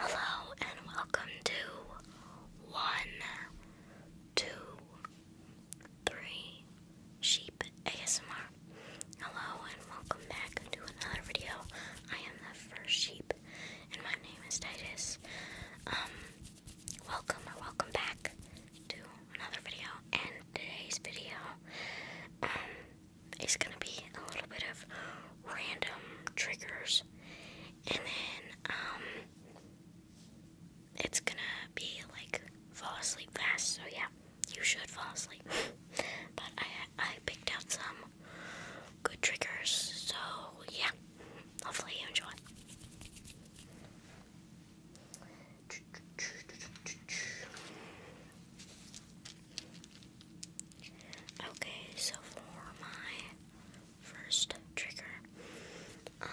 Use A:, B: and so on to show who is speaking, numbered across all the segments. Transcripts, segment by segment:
A: Hello and welcome to one, two, three sheep ASMR. Hello and welcome back to another video. I am the first sheep and my name is Titus. Um, welcome or welcome back to another video, and today's video um, is gonna be a little bit of random triggers, and then um, it's gonna be like fall asleep fast. So yeah, you should fall asleep. but I I picked out some good triggers, so yeah, hopefully you enjoy. Okay, so for my first trigger, um,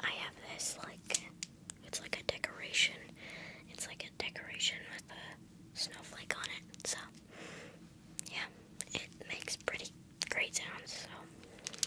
A: I have this like it's like a decoration. It's like a decoration with a snowflake on it. So yeah, it makes pretty great sounds. So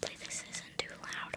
A: Hopefully this isn't too loud.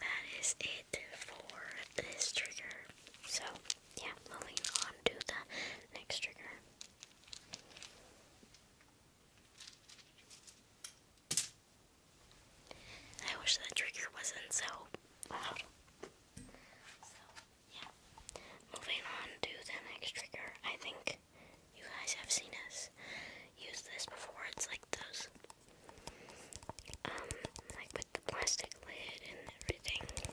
A: that is it for this trigger. So, yeah, moving on to the next trigger. I wish that trigger wasn't so loud. So, yeah. Moving on to the next trigger. I think you guys have seen us use this before. It's like those um, like with the plastic lid and everything.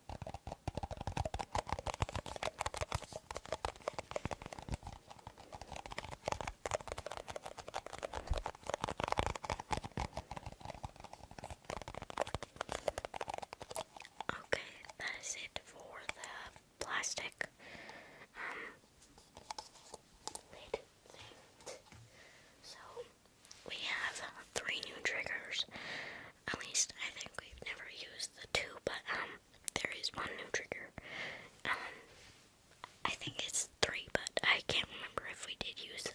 A: Okay, that is it for the plastic um, lid thing. So we have three new triggers. At least I think we've never used the two, but um, there is one new trigger. Um, I think it's three, but I can't remember if we did use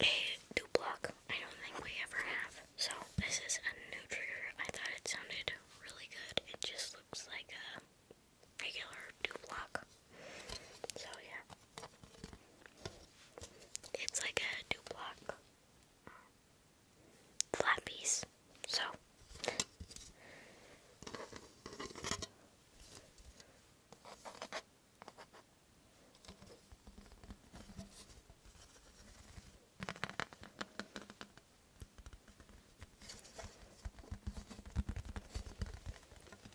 A: a Duploc. I don't think we ever have. So this is a new trigger. I thought it sounded really good. It just looks like a regular Duploc. So yeah. It's like a Duploc flat piece, so.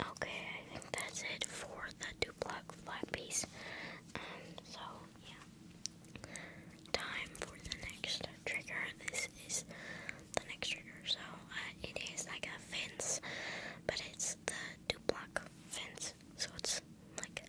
A: Okay, I think that's it for the Duploc flat piece. Um, so, yeah. Time for the next trigger. This is the next trigger. So, uh, it is like a fence, but it's the Duploc fence. So, it's like.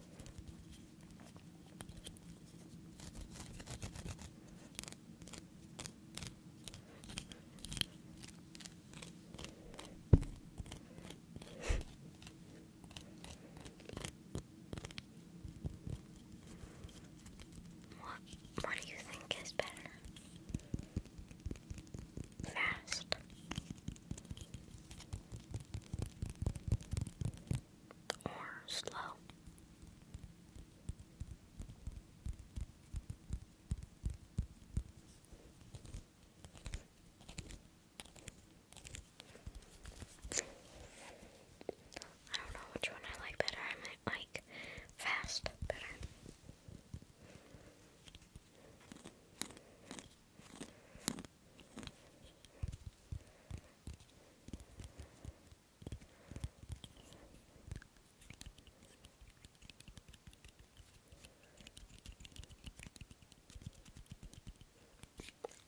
A: What, what do you think is better? Fast or slow. I don't know which one I like better. I might like fast better.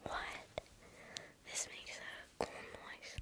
A: What? This makes a noise.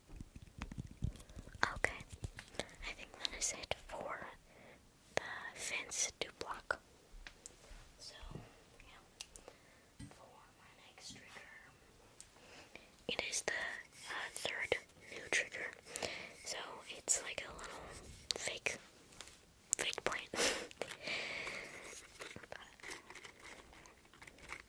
A: Okay, I think that is it for the fence to So, for my next trigger, it is the uh, third new trigger. So, it's like a little fake, fake plant.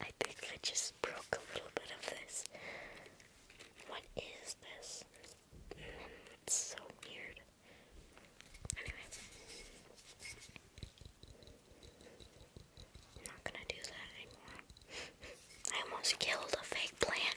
A: I think I just broke a little bit of this. What is this? It's so weird. Anyway, I'm not gonna do that anymore. I almost killed a fake plant.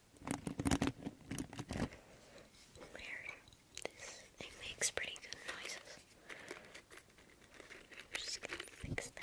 A: where this thing makes pretty good noises. We're just gonna fix that.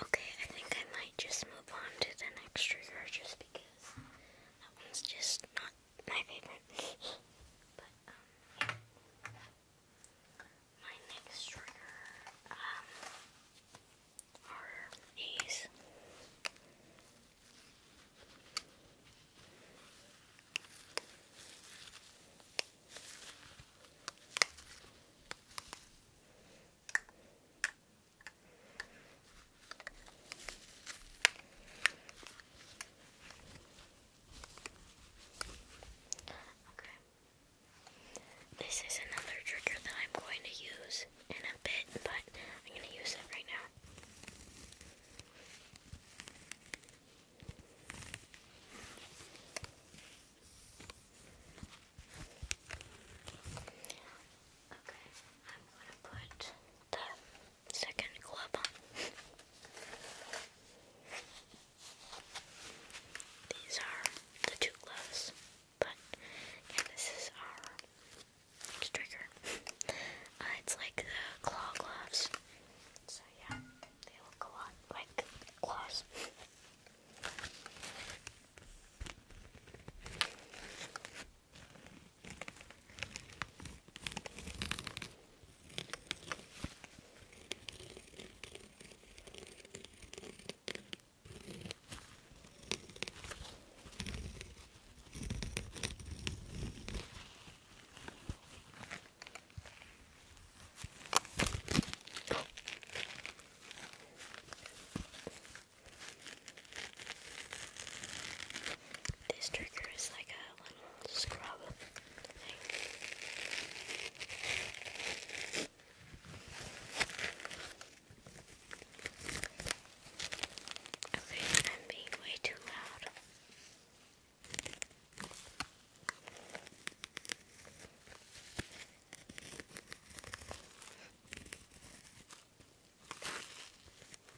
A: Okay, I think I might just move on to the next trigger just because that one's just not my favorite. but um, my next trigger um are these. Okay. This is another trigger that I'm going to use in a bit, but I'm going to use it right now. Okay, I'm going to put the second glove These are the two gloves, but yeah, this is our trigger. Uh, it's like the claw gloves. So yeah, they look a lot like claws. This trigger is like a little scrub. Okay, I'm being way too loud. Okay.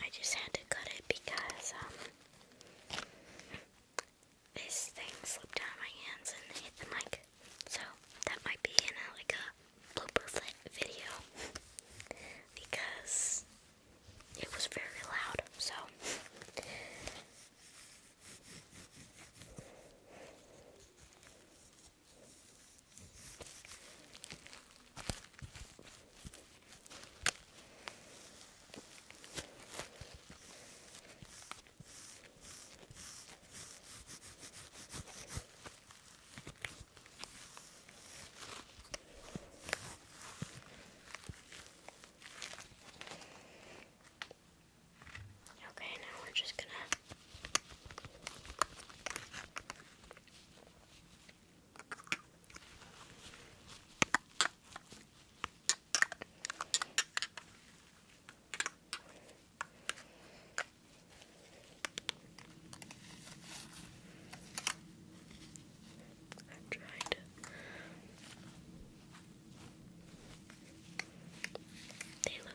A: I just had to cut it because um this thing slipped out of my hands and hit the mic. So that might be in like a blooper video because it was very loud. So Okay, now we're just gonna I'm trying to they look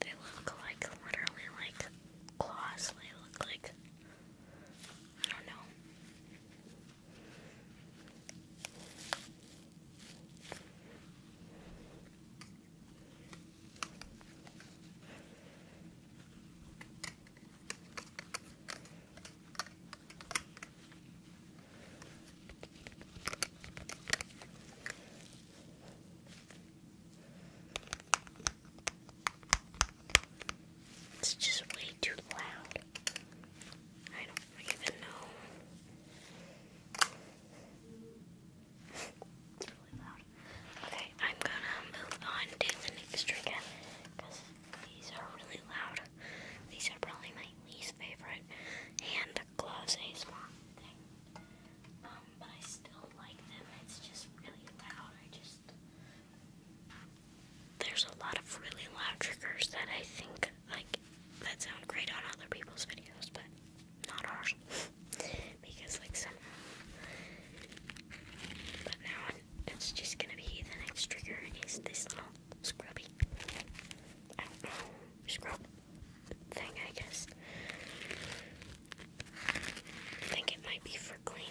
A: They look like literally like claws. They look like I don't know. It's just way too loud. I don't even know. Okay, I'm gonna move on to the next trigger because these are really loud. These are probably my least favorite and the gloves ASMR thing. Um, but I still like them. It's just really loud. I just there's a lot of really loud triggers that I think like that sound great on other people's videos, but not ours. because like some, But now it's just gonna be the next trigger is this little scrubby. I don't know, scrub thing, I guess. think it might be for cleaning.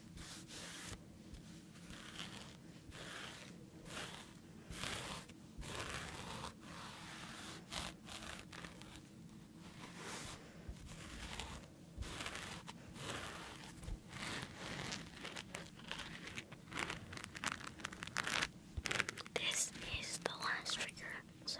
A: This is the last trigger, so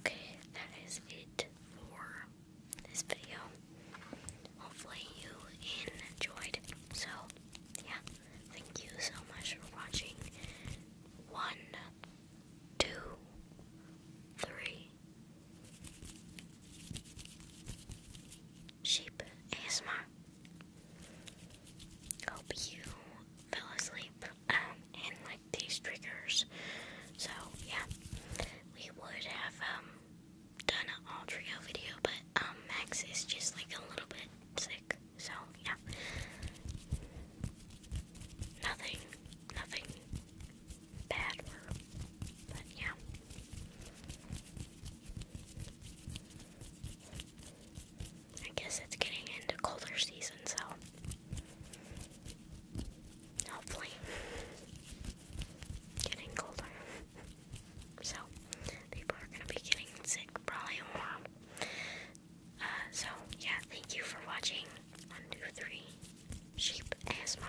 A: Okay, that is it for this video. Hopefully, you enjoyed. So, yeah, thank you so much for watching. One, two, three. Sheep asthma. Hope you fell asleep um, and like these triggers. So yeah, we would have um, done an all video, but um, Max is just like a little bit sick. So yeah, nothing, nothing bad, but yeah. I guess it's getting into colder season, so hopefully getting colder. So people are gonna be getting sick probably warm. Uh, so yeah, thank you for watching. One, two, three, sheep asthma.